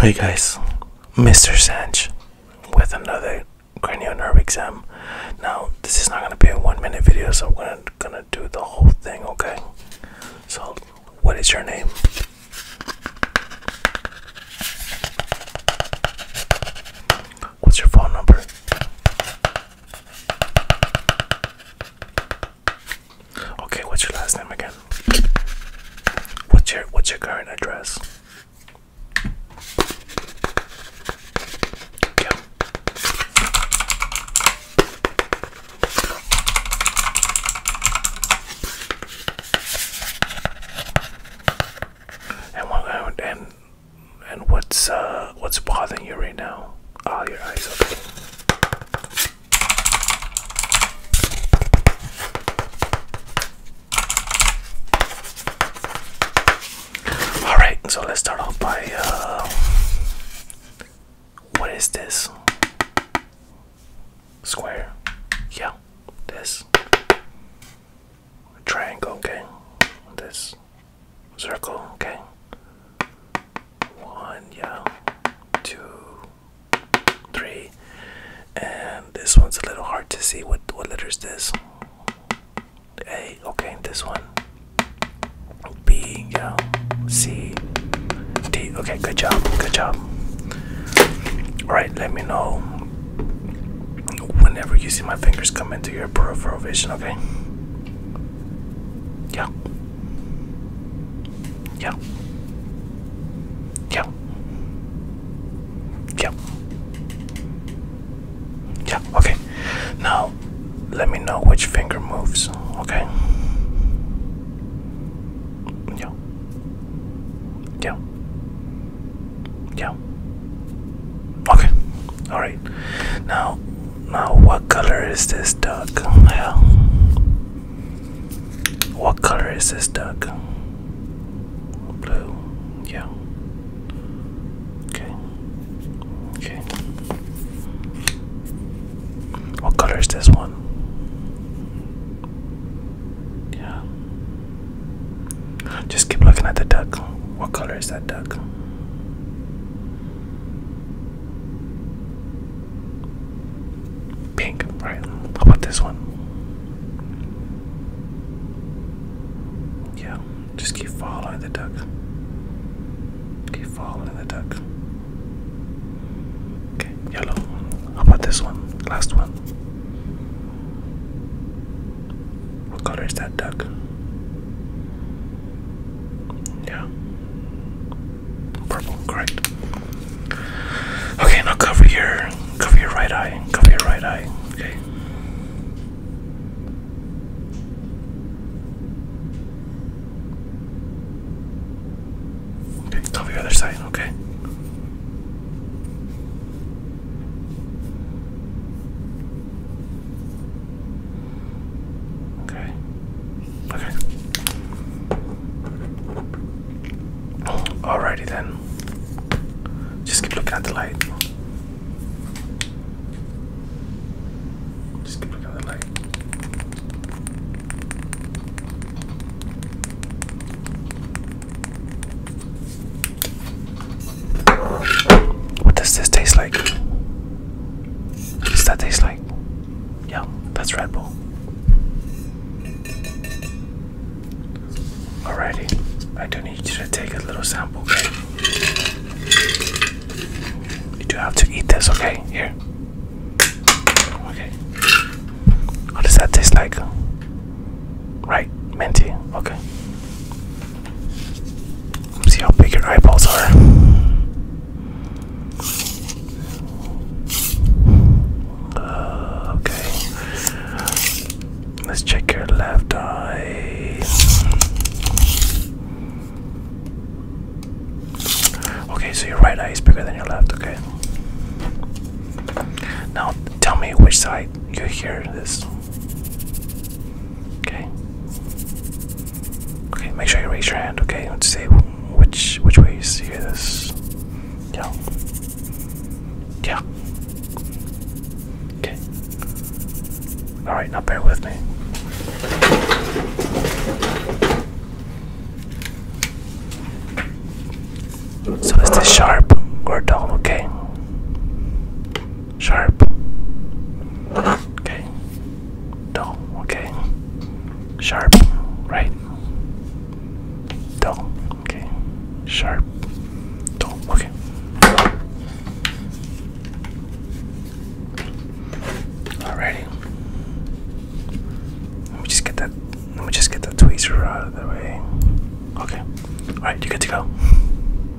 Hey guys, Mr. Sanch with another cranial nerve exam. Now, this is not going to be a one minute video, so I'm gonna, gonna do the whole thing, okay? So, what is your name? What's your phone number? Okay, what's your last name again? What's your what's your current address? And what and and what's uh what's bothering you right now? oh, your eyes. open. All right, so let's start off by uh, what is this? Square, yeah, this triangle, okay, this circle, okay, one yeah two three and this one's a little hard to see what what letter is this a okay this one b yeah c d okay good job good job all right let me know whenever you see my fingers come into your peripheral vision okay yeah yeah. Yeah. Yeah. Yeah, okay. Now let me know which finger moves, okay? Yeah. Yeah. Yeah. Okay. Alright. Now now, what color is this duck? Well, what color is this duck? Blue, yeah. Okay, okay. What color is this one? Yeah. Just keep looking at the duck. What color is that duck? Pink, right? How about this one? Yeah, just keep following the duck. Keep following the duck. Okay, yellow. How about this one? Last one. What color is that duck? Yeah. Purple, correct. Okay, now cover your cover your right eye. Cover your right eye. Okay. Okay, cover your other side, okay? Okay. Okay. Alrighty then. Just keep looking at the light. Just keep looking at the light. What does this taste like? What does that taste like? Yeah, that's Red Bull. Alrighty, I do need you to take a little sample, okay? You do have to eat this, okay? Here. Okay. What does that taste like? Right, minty, okay. See how big your eyeballs are. Uh, okay. Let's check your left eye. Okay, so your right eye is bigger than your left, okay? Now tell me which side you hear this. Okay. Okay, make sure you raise your hand, okay? Let's see which which way you see this. Yeah. Yeah. Okay. Alright, now bear with me. So it's this sharp or dull, okay? Sharp. Okay. Dull. Okay. Sharp. Right. Dull. Okay. Sharp. Dull. Okay. Alrighty. Let me just get that. Let me just get the tweezer out of the way. Okay. Alright, you good to go.